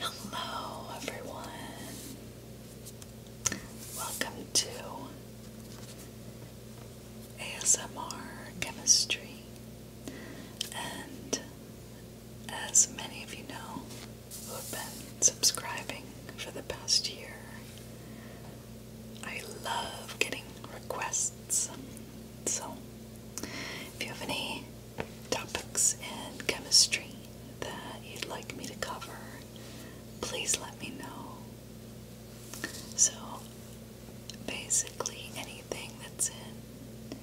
Hello, everyone. Welcome to ASMR Chemistry. And as many of you know who have been subscribing for the past year, I love getting requests. So, if you have any topics in chemistry that you'd like me to cover, please let me know. So, basically, anything that's in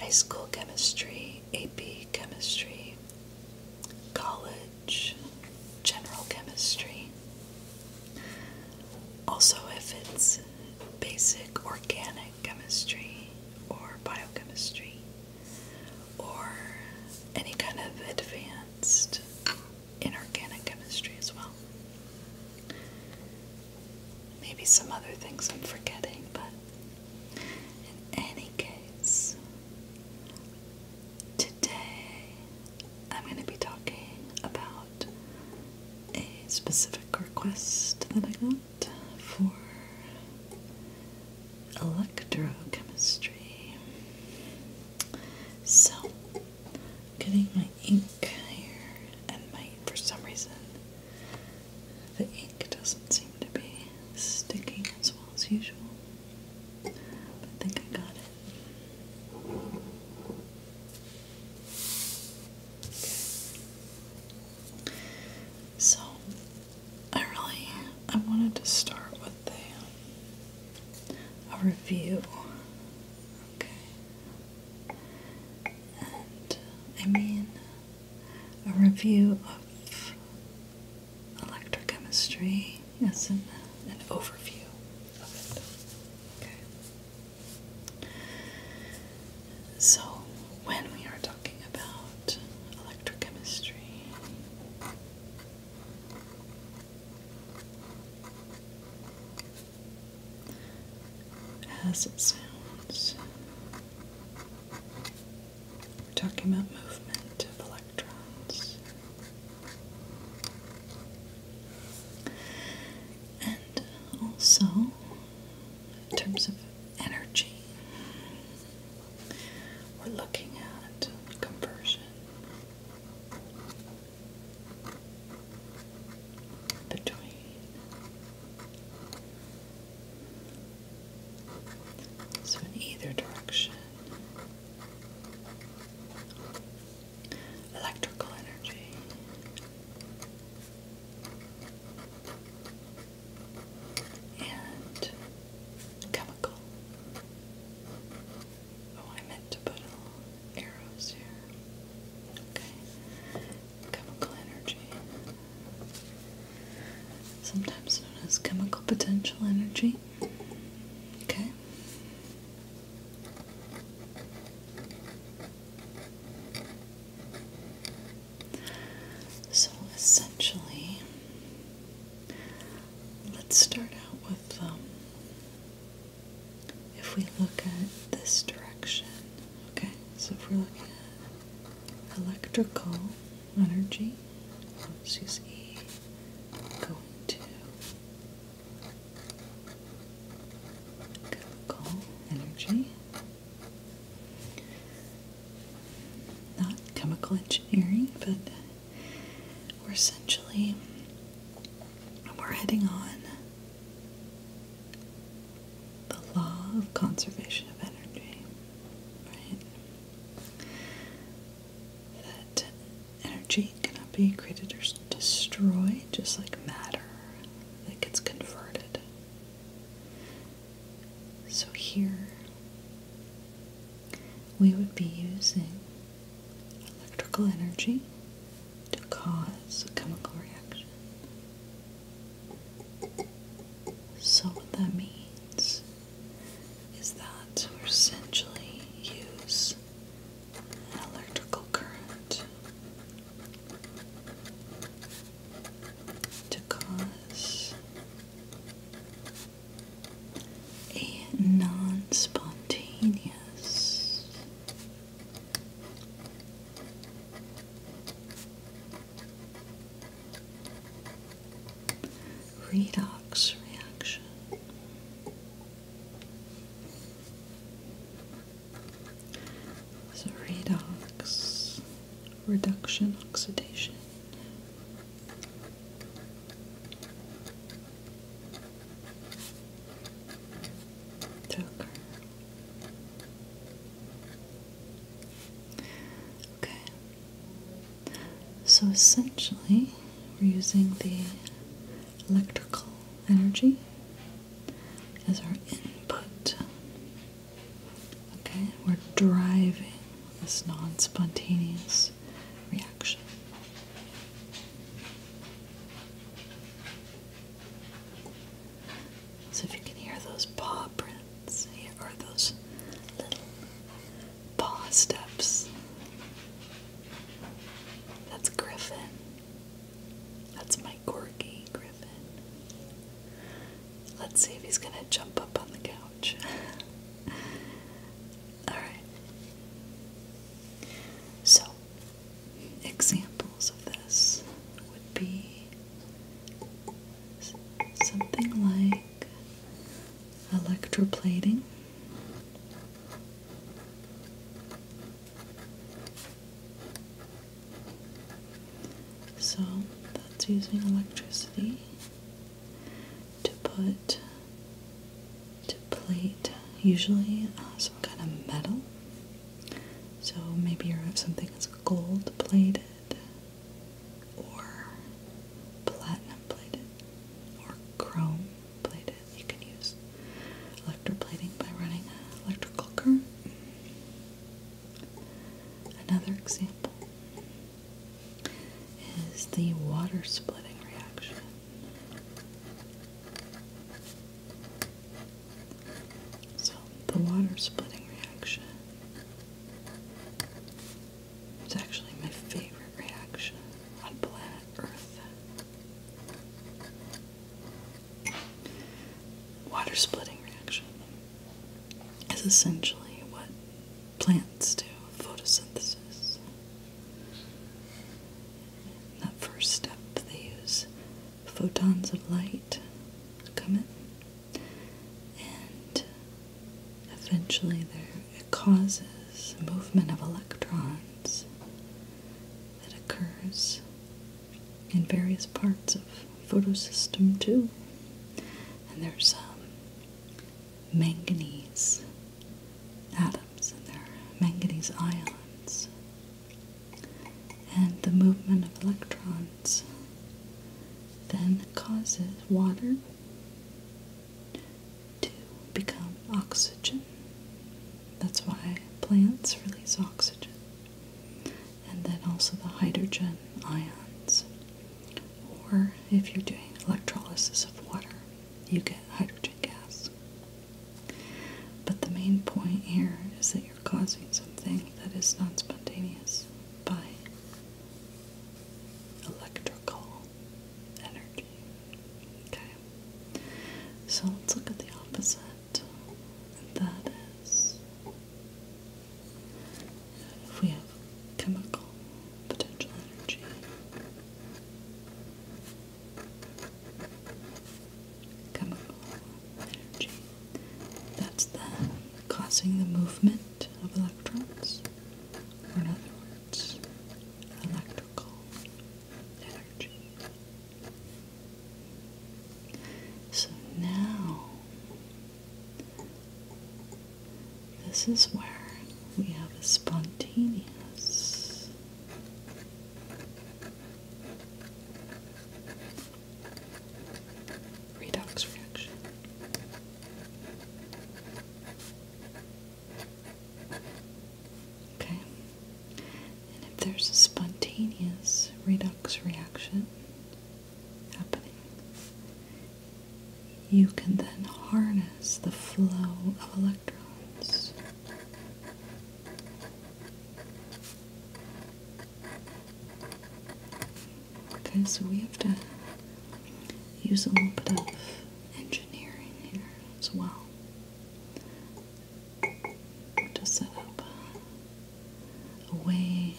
high school chemistry, AP chemistry, college, general chemistry. Also, if it's basic organic chemistry or biochemistry or any kind of advanced inorganic chemistry as well. Maybe some other things I'm forgetting, but in any case, today I'm going to be talking about a specific request that I got for electrochemistry. So, I'm getting my ink here, and my for some reason the ink doesn't seem to be sticking as well as usual. But I think I got it. So I really I wanted to start with a, review. Okay. And uh, I mean a review of electrochemistry as an, an overview of it. Okay. So, when we are talking about electrochemistry, as it sounds, we're talking about movement of electrons. And also in terms of energy. We're looking at conversion. Between so in either direction, electrical energy and chemical. Oh, I meant to put arrows here. Okay. Chemical energy. Sometimes known as chemical potential energy. Okay. So essentially, let's start out with um, if we look at this direction, okay? So if we're looking at electrical energy, let's use E going to chemical energy not chemical engineering, but we're essentially we're heading on the law of conservation of energy, That energy cannot be created or destroyed, just like matter it gets converted so here we would be using electrical energy to cause a chemical reaction. So what that means is that we essentially use an electrical current to cause a non spontaneous redox reaction. So redox, reduction, oxidation. Okay. So essentially, we're using the electrical energy is our input. Okay, we're driving this non spontaneous reaction. So, if you can hear those paw prints or those little paw steps, that's Griffin that's my Gorky Griffin. Let's see if he's gonna jump up on the couch. Alright. So, examples of this would be something like electroplating. So that's using electricity to put to plate usually uh, some kind of metal. So maybe you have something that's gold plated or platinum plated or chrome plated. You can use electroplating by running an electrical current. Another example is the water splitting reaction. So, the water splitting reaction is actually my favorite reaction on planet Earth. Water splitting reaction is essentially what plants do photosynthesis. In that first step, they use photons of light to and eventually, it causes movement of electrons that occurs in various parts of photosystem two. And there's um, manganese atoms and there, are manganese ions. And the movement of electrons then causes water to become oxygen. That's why plants release oxygen and then also the hydrogen ions. Or if you're doing electrolysis of water, you get hydrogen gas. But the main point here is that you're causing something that is non spontaneous by electrical energy. Okay, so let's look at the opposite that is if we have chemical potential energy. Chemical energy. That's then causing the movement of electrons, or in other words, electrical energy. So now, this is where we have a spontaneous redox reaction. Okay, and if there's a spontaneous redox reaction happening, you can then harness the flow of electrons. Okay, so we have to use a little bit of engineering here as well to set up a way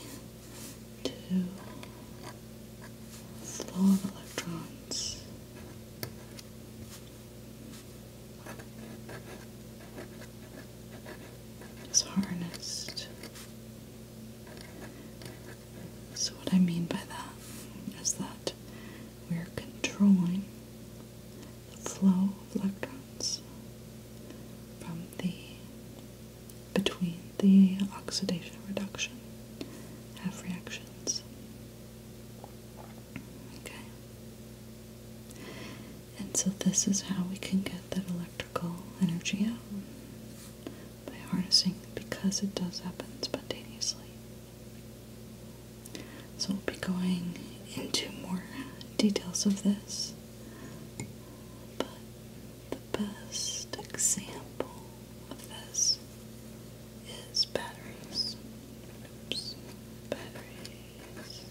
to flow electrons is harnessed. So what I mean by that is that we're controlling flow of electrons from the between the oxidation reduction half reactions. Okay. And so this is how we can get that electrical energy out by harnessing because it does happen spontaneously. So we'll be going into more details of this but the best example of this is batteries. Oops, batteries.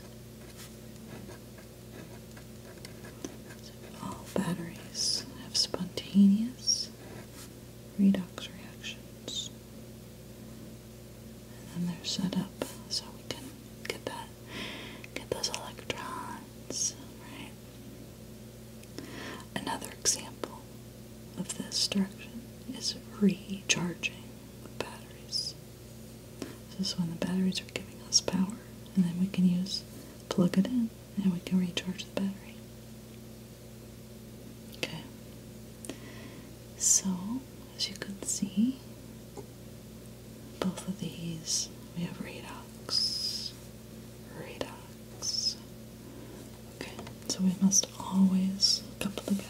all batteries have spontaneous redox reactions and then they're set up so we can get that get those electrons, right? Another example of this direction is recharging batteries. This is when the batteries are giving us power, and then we can use plug it in and we can recharge the battery. Okay. So as you can see, both of these we have redox, redox. Okay, so we must always couple together.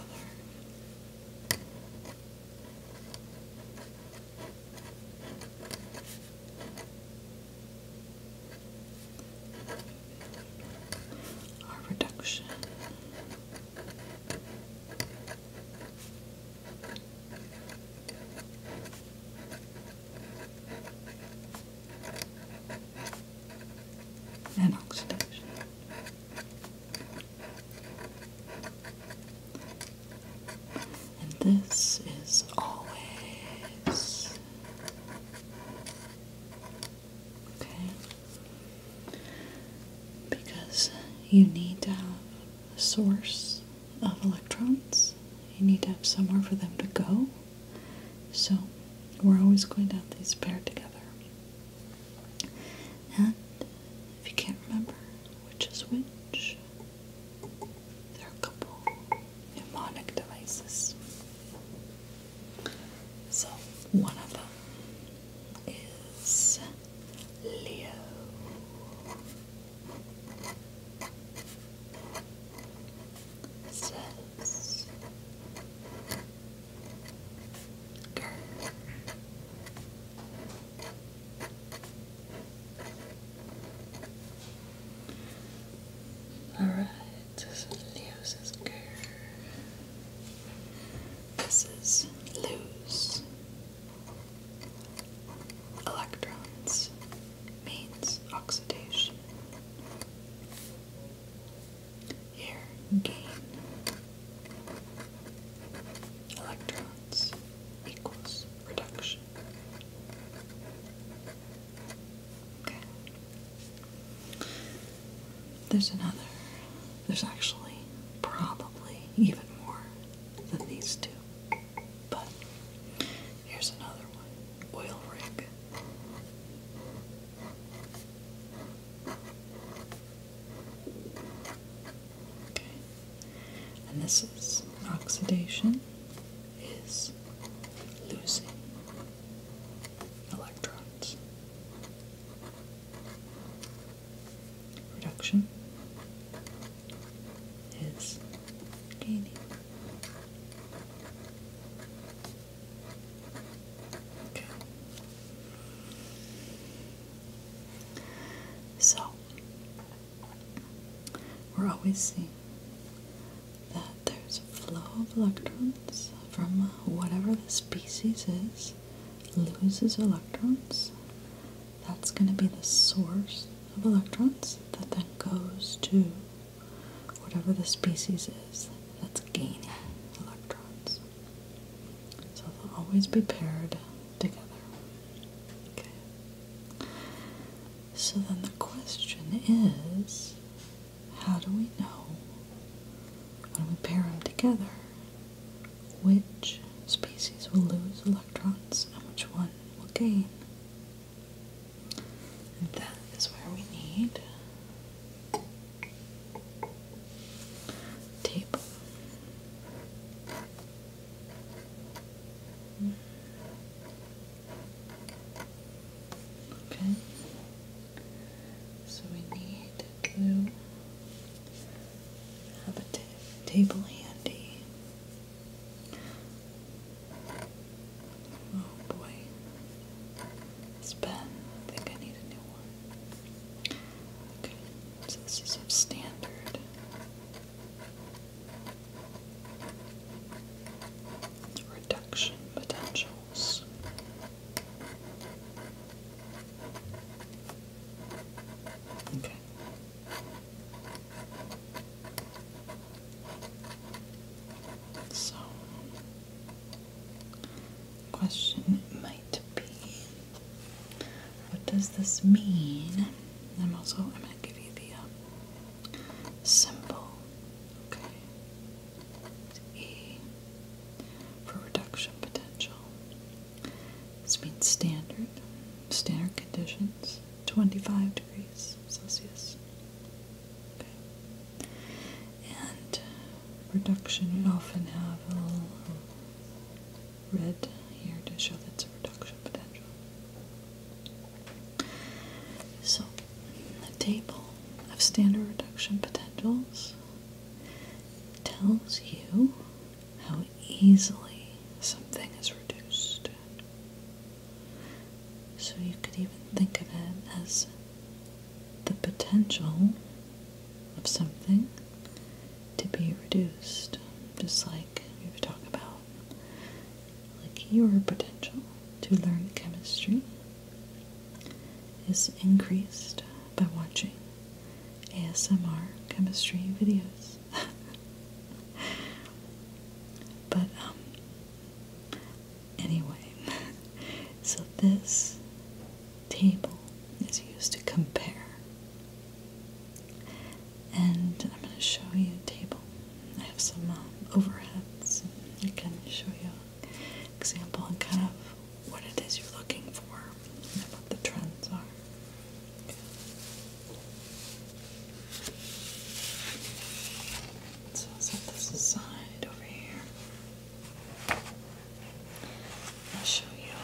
our reduction and oxidation. And this is always okay because you need to have source of electrons. You need to have somewhere for them to go. So we're always going to have these paired together. And if you can't remember which is which, there are a couple mnemonic devices. So one of them is Leo. Says Grr. All right, this is Leo's This is Lou's Electrons means oxidation. Here, gain. Electrons equals reduction. Okay. There's another there's actually probably even more than these two. But here's another one oil rig. Okay. And this is oxidation is losing electrons. Production is gaining. Okay. So, we're always seeing that there's a flow of electrons from whatever the species is, loses electrons that's going to be the source of electrons that then goes to whatever the species is that's gaining electrons. So they'll always be paired together. Okay. So then the question is how do we know when we pair them together which species will lose electrons and which one will gain? And that is where we need tape. Okay. So we need to have a table handy. Oh boy. This pen. I think I need a new one. Okay, so this is standard. Reduction potentials. Okay. So, question might be, what does this mean? I'm also I'm gonna give you the um, symbol, okay? e for reduction potential. This means standard, standard conditions, 25 degrees Celsius. Okay. And reduction, you often have a little um, red here to show that it's a reduction potential. So, the table of standard reduction potentials tells you how easily something is reduced. So you could even think of it as the potential of something to be reduced, just like we were talking about, like your potential to learn chemistry is increased by watching ASMR chemistry videos. but, um, anyway, so this table is used to compare. And I'm going to show you a table. I have some um, overheads. I can show you example and kind of what it is you're looking for and what the trends are. So set this aside over here. I'll show you.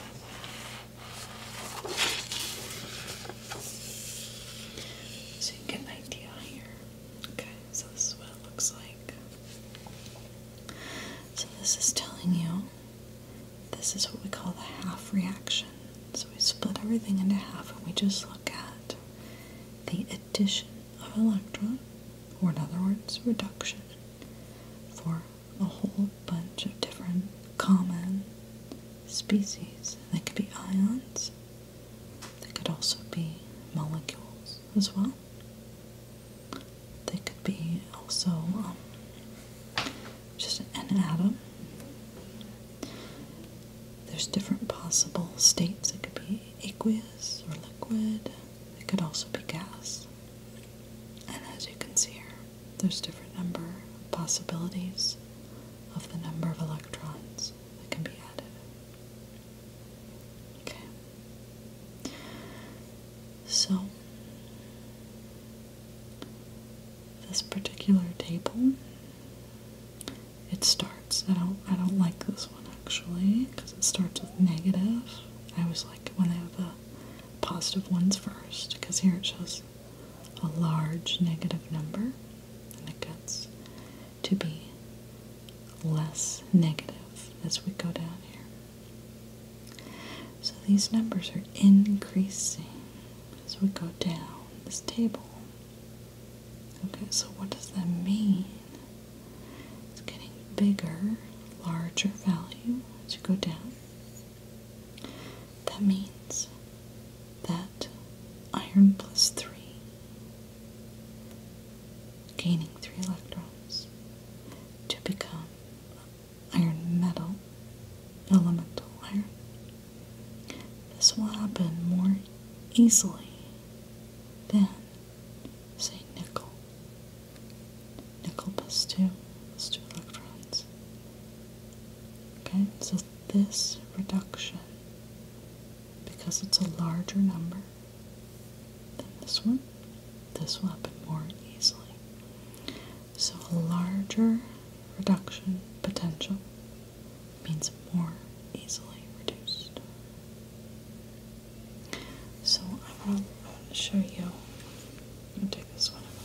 So you get an idea here. Okay, so this is what it looks like. So this is telling you this is what we call the half reaction. So we split everything into half and we just look at the addition of electron, or in other words, reduction, for a whole bunch of different common species. They could be ions, they could also be molecules as well. They could be also um, just an atom. There's different possible states. It could be aqueous or liquid. It could also be gas. And as you can see here, there's different number of possibilities of the number of electrons that can be added. Okay. So this particular table. It starts. I don't. I don't like this one actually because it starts with negative. I was like it when they have the positive ones first because here it shows a large negative number, and it gets to be less negative as we go down here. So these numbers are increasing as we go down this table. Okay, so what does that mean? It's getting bigger, larger value as you go down. That means that iron plus 3 gaining 3 electrons to become iron metal, elemental iron. This will happen more easily than, say, nickel. Nickel plus two, plus two electrons. Okay, so this reduction, because it's a larger number than this one, this will happen more easily. So a larger reduction potential means more easily reduced. So I want to show you. I'm take this one away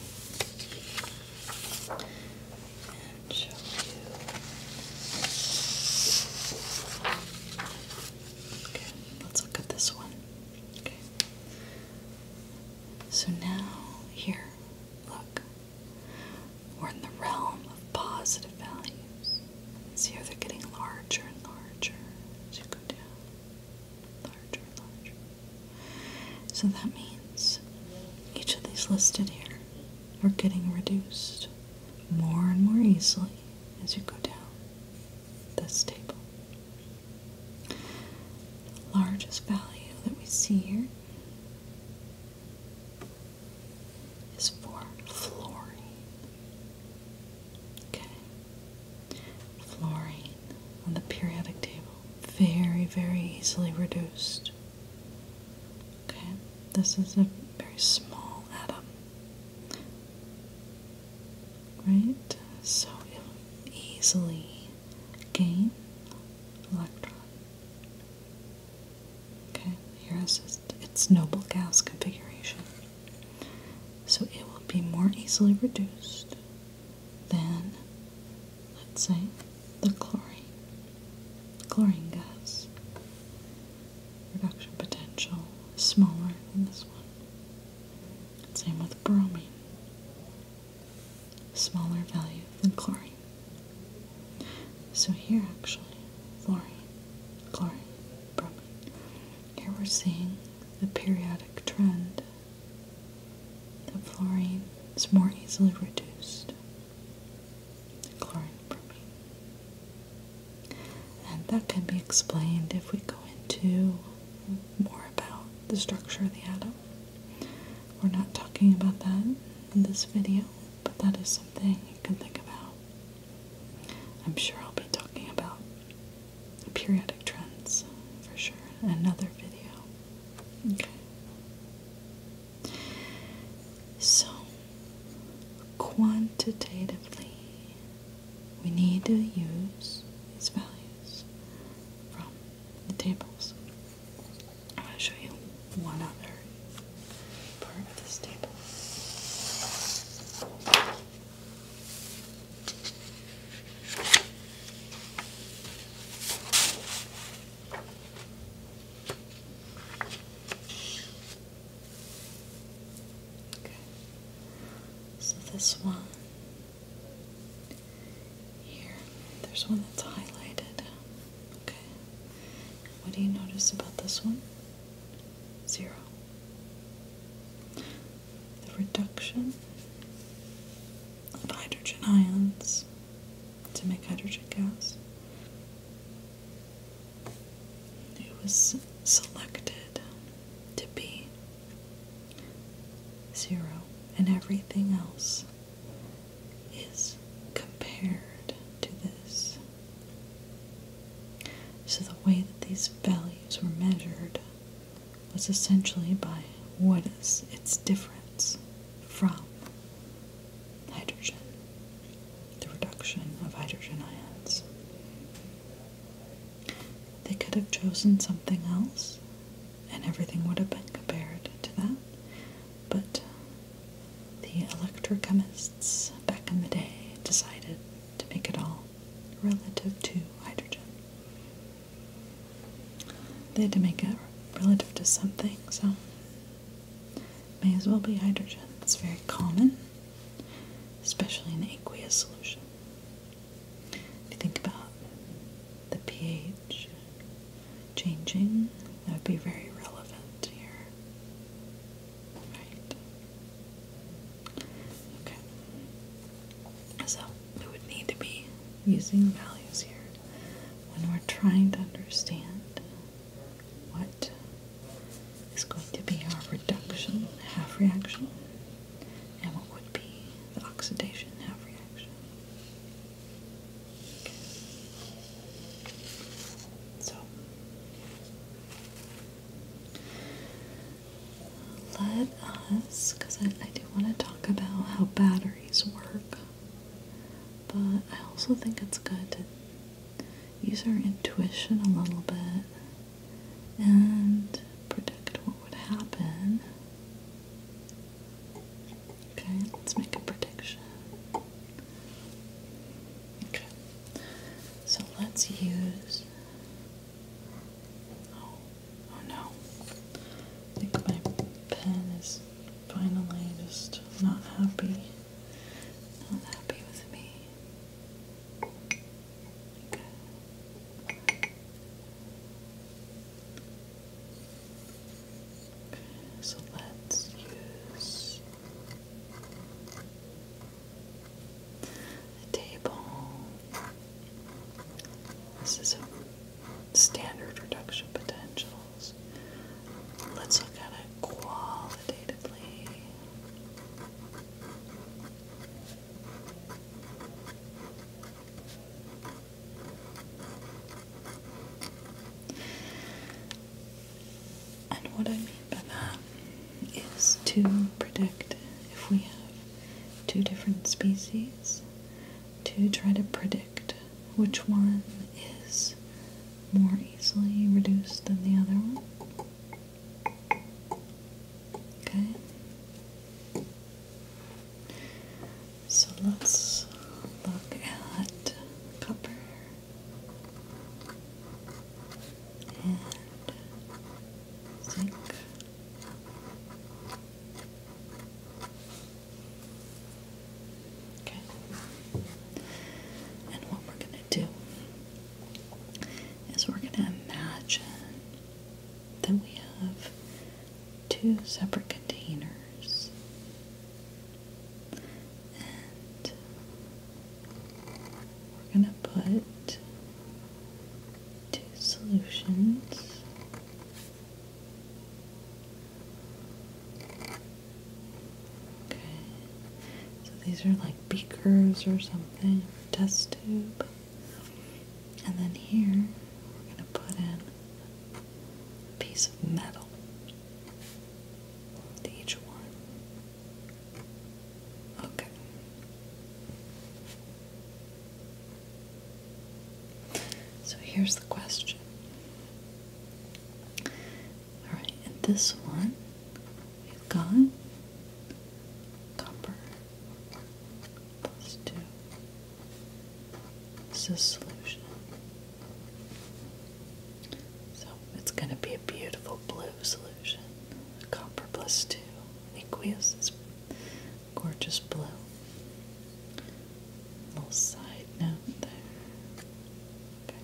and show you. Okay, let's look at this one. Okay. So now here Look, we're in the realm of positive values. See how they're getting larger and larger as you go down. Larger and larger. So that means each of these listed here are getting reduced more and more easily as you go down this table largest value that we see here is for fluorine. Okay. Fluorine on the periodic table. Very, very easily reduced. Okay. This is a very small atom. Right? So it easily gain electron. Okay, here is its, its noble gas configuration. So it will be more easily reduced than, let's say, the chlorine. Chlorine gas. Reduction potential is smaller than this one. Same with bromine smaller value than chlorine. So here actually, fluorine, chlorine, bromine. Here we're seeing the periodic trend that fluorine is more easily reduced than chlorine bromine. And that can be explained if we go into more about the structure of the atom. We're not talking about that in this video, but that is something you can think about. I'm sure I'll be talking about periodic trends for sure in another video. Okay. So, quantitatively, we need to use these values from the tables. I'm going to show you one other part of this table. Okay. So this one here, there's one that's highlighted. Okay. What do you notice about this one? Zero. The reduction of hydrogen ions to make hydrogen gas. It was selected to be zero, and everything else is compared to this. So the way that these values were measured was essentially by what is its difference from hydrogen, the reduction of hydrogen ions. They could have chosen something else and everything would have been compared to that. But uh, the electrochemists back in the day decided to make it all relative to hydrogen. They had to make it relative to something, so may as well be hydrogen. It's very common, especially in aqueous solution. If you think about the pH changing, that would be very relevant here. Right? Okay. So we would need to be using values here when we're trying to understand what is going to be our reduction half reaction and what would be the oxidation half reaction. So let us, because I, I do want to talk about how batteries work, but I also think it's good to use our intuition a little bit and predict what would happen Okay, let's make a prediction. Okay, so let's use. Oh, oh no! I think my pen is finally just not happy. Not happy with me so let's use table. This is a standard reduction potentials. Let's look at it qualitatively. And what I mean by that is to predict if we have two different species, to try to predict which one is more easily reduced than the other one. Okay. So let's look at copper and zinc. Okay. And what we're going to do is we're going to imagine that we have two separate containers and we're going to put two solutions okay so these are like beakers or something test tube and then here we're going to put in piece of metal each one. Okay. So here's the question. Alright, and this one we've got copper plus two it's a solution. So it's going to be a beautiful blue solution. Copper plus 2. Aqueous is gorgeous blue. Little side note there. Okay.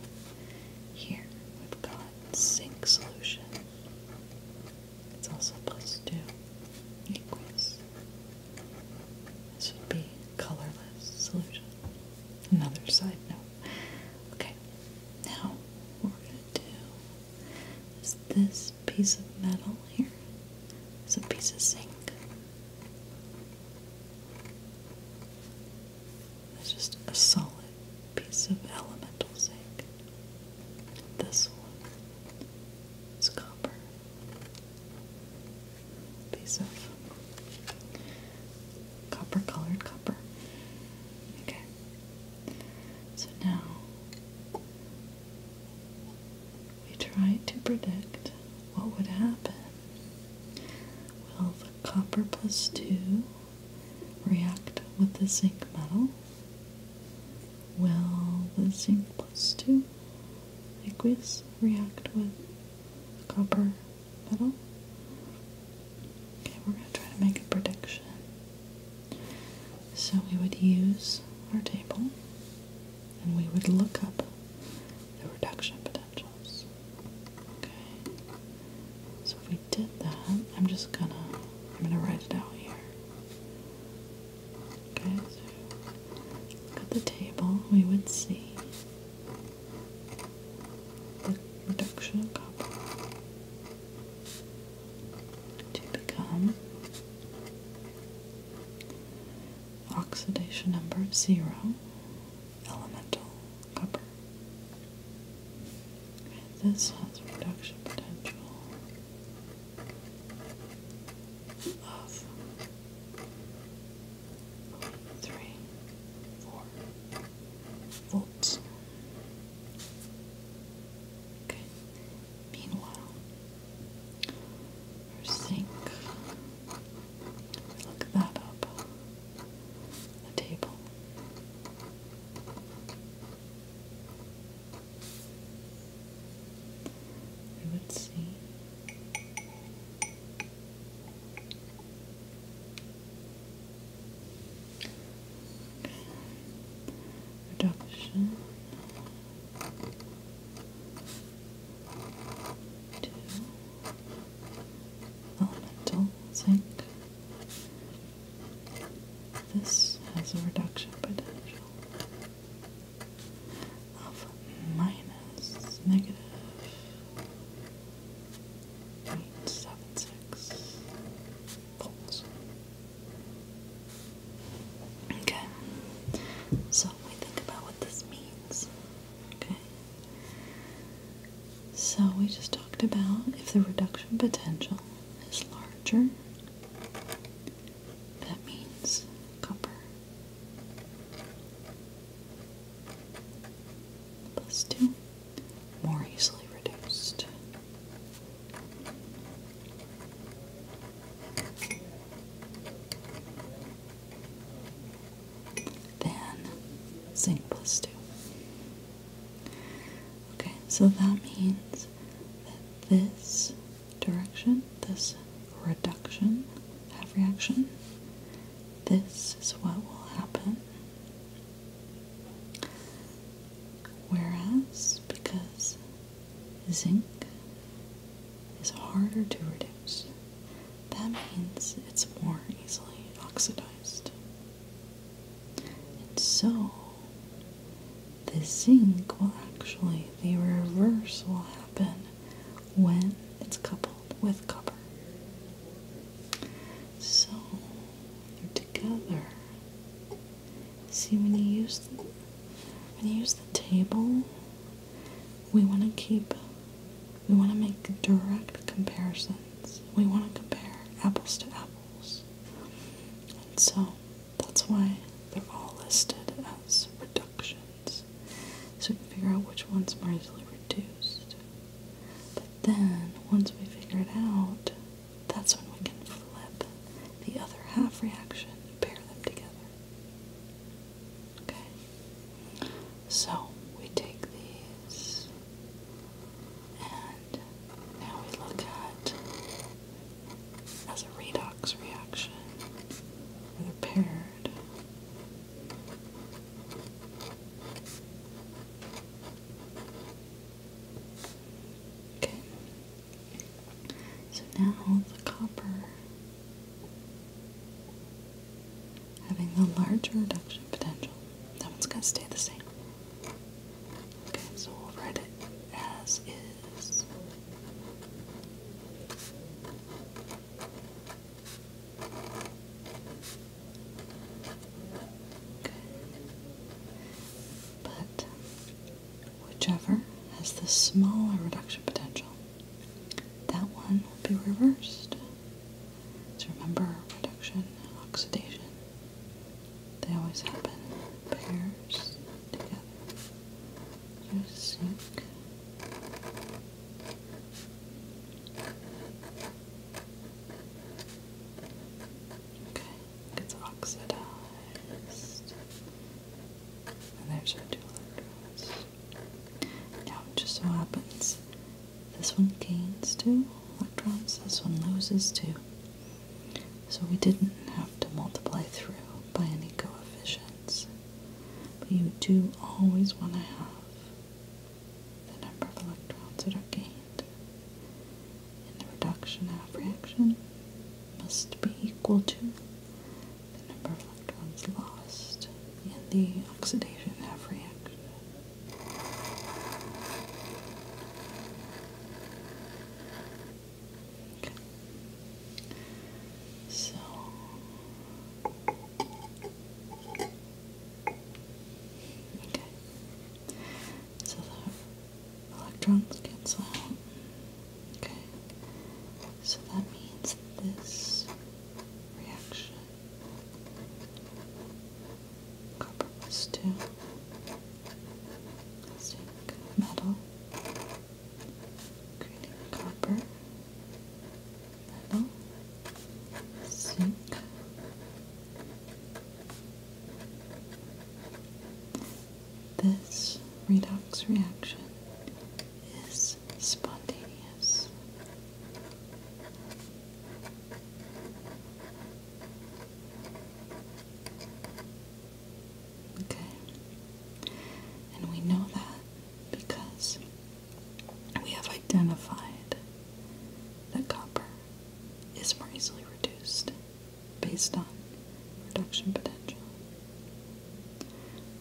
Here we've got zinc solution. It's also plus 2. Equals this would be colorless solution. Another side note. Okay, now what we're going to do is this piece of metal here is a piece of zinc. It's just a solid piece of elemental zinc. This one is copper piece of copper colored copper. Okay. So now we try to predict what would happen. Will the copper plus two react with the zinc metal? Will the zinc plus two aqueous react with a copper metal? Okay, we're going to try to make a prediction. So we would use our table and we would look up the reduction potentials. Okay. So if we did that, I'm just gonna I'm gonna write it out here. Okay, so at the table we would see the reduction of copper to become oxidation number zero, elemental copper. this has reduction potential of three, four volts. Okay. Meanwhile, our sink. Look that up. The table. Let's see. Reduction to elemental zinc. This has a reduction potential of minus negative 0.76 volts. Okay, so we think about what this means. Okay, so we just talked about if the reduction potential is larger, that means copper plus 2, more easily reduced. Then zinc plus 2. Okay, so that means that this direction, this reduction half reaction, this is what will happen. Whereas, because zinc is harder to reduce, that means it's more easily oxidized. And so, the zinc will actually, the reverse will happen when it's coupled with copper. So they're together. See when you use the, when you use the table, we want to keep we want to make direct comparisons. We want to compare apples to apples. And so that's why they're all listed as reductions. So we can figure out which ones are easily reduced. But then, once we figure it out, that's when we can flip the other half reaction pair them together. Okay? So, we take these, and now we look at as a redox reaction. they Okay. So now the copper having the larger reduction potential. That one's gonna stay the same. Okay, so we'll write it as is. But whichever has the smaller reduction potential, that one will be reversed. So remember, reduction and oxidation, they always happen in pairs together your Okay, it's oxidized. And there's our two electrons. Now it just so happens this one gains two electrons, this one loses two. So we didn't have to multiply through by any coefficient. But you do always want to have the number of electrons that are gained. in the reduction half reaction must be equal to the number of electrons lost in the oxidation half reaction. So okay, so the electrons cancel out. Okay, so that means this reaction copper plus two metal copper, zinc, this redox reaction is spontaneous. Okay, and we know that because we have identified that copper is more easily reduced based on reduction potential.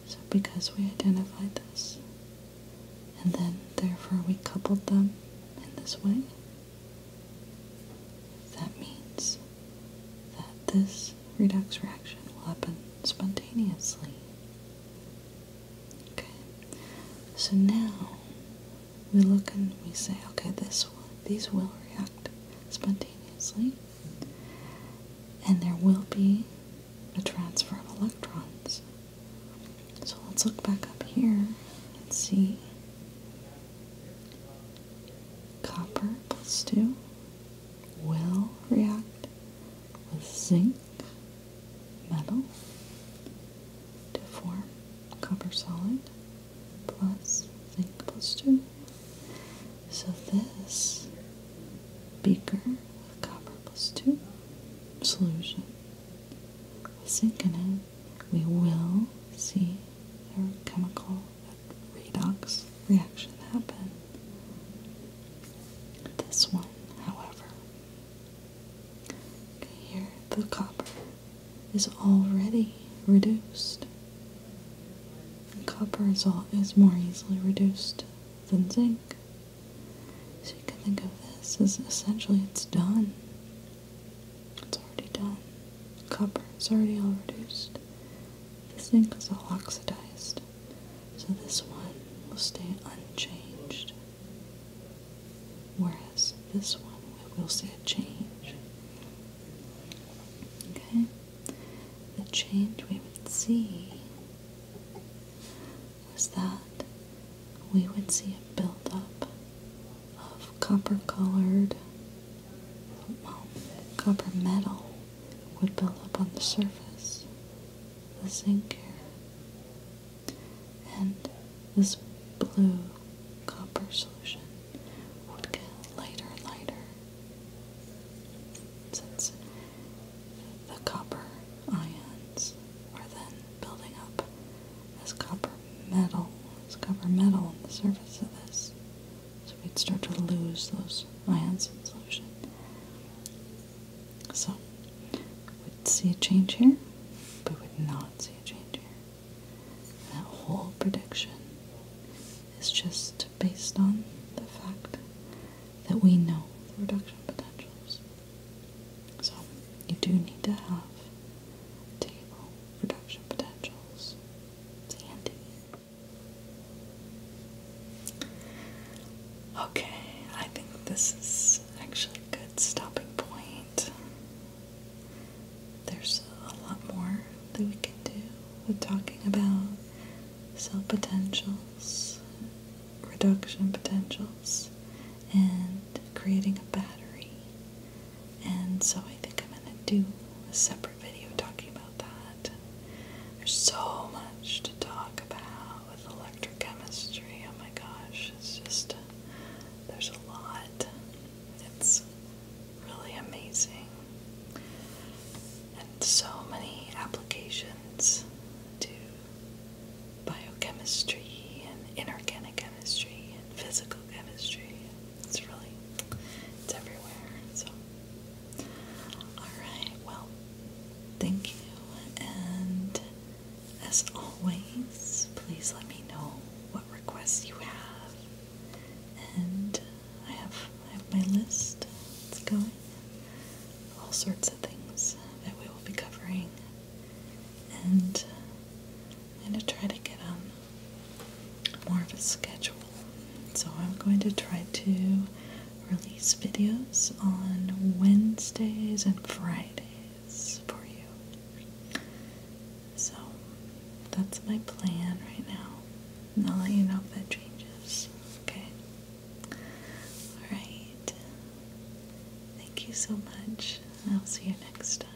So, because we identified this, and then therefore we coupled them in this way, that means that this redox reaction will happen spontaneously. Okay, so now we look and we say, okay, this one, these will react spontaneously, and there will be a transfer of electrons. So let's look back up here and see copper plus 2 will react with zinc metal to form copper solid plus zinc plus two. So this beaker with copper plus two solution with zinc in it, we will see their chemical redox reaction happen. This one, however, here the copper is already reduced. Copper is, all, is more easily reduced than zinc. So you can think of this as essentially it's done. It's already done. Copper is already all reduced. The zinc is all oxidized. So this one will stay unchanged, whereas this one we will see a change. Okay? The change we would see was that we would see a buildup of copper colored, well, copper metal would build up on the surface, the zinc and this blue copper solution would get lighter and lighter since the copper ions are then building up as copper metal, as copper metal on the surface of this. So we'd start to lose those ions in solution. So we'd see a change here, but we would not see a change here. that whole prediction is just based on the fact that we know the reduction potentials. So you do need to have table reduction potentials handy. Okay, I think this is actually a good stopping point. There's a lot more that we can do with talking about cell potentials, reduction potentials, and creating a battery. And so I think I'm going to do a separate video talking about that. There's so much to talk about with electrochemistry. Oh my gosh, it's just, uh, there's a lot. It's really amazing. And so many applications to biochemistry and inorganic chemistry and physical chemistry. It's really, it's everywhere. So Alright, well, thank you, and as always, please let me know what requests you have. And I have, I have my list, it's going, all sorts of things that we will be covering. And I'm going to try to get on um, more of a schedule so I'm going to try to release videos on Wednesdays and Fridays for you. So that's my plan right now. And I'll let you know if that changes. Okay? Alright. Thank you so much. I'll see you next time.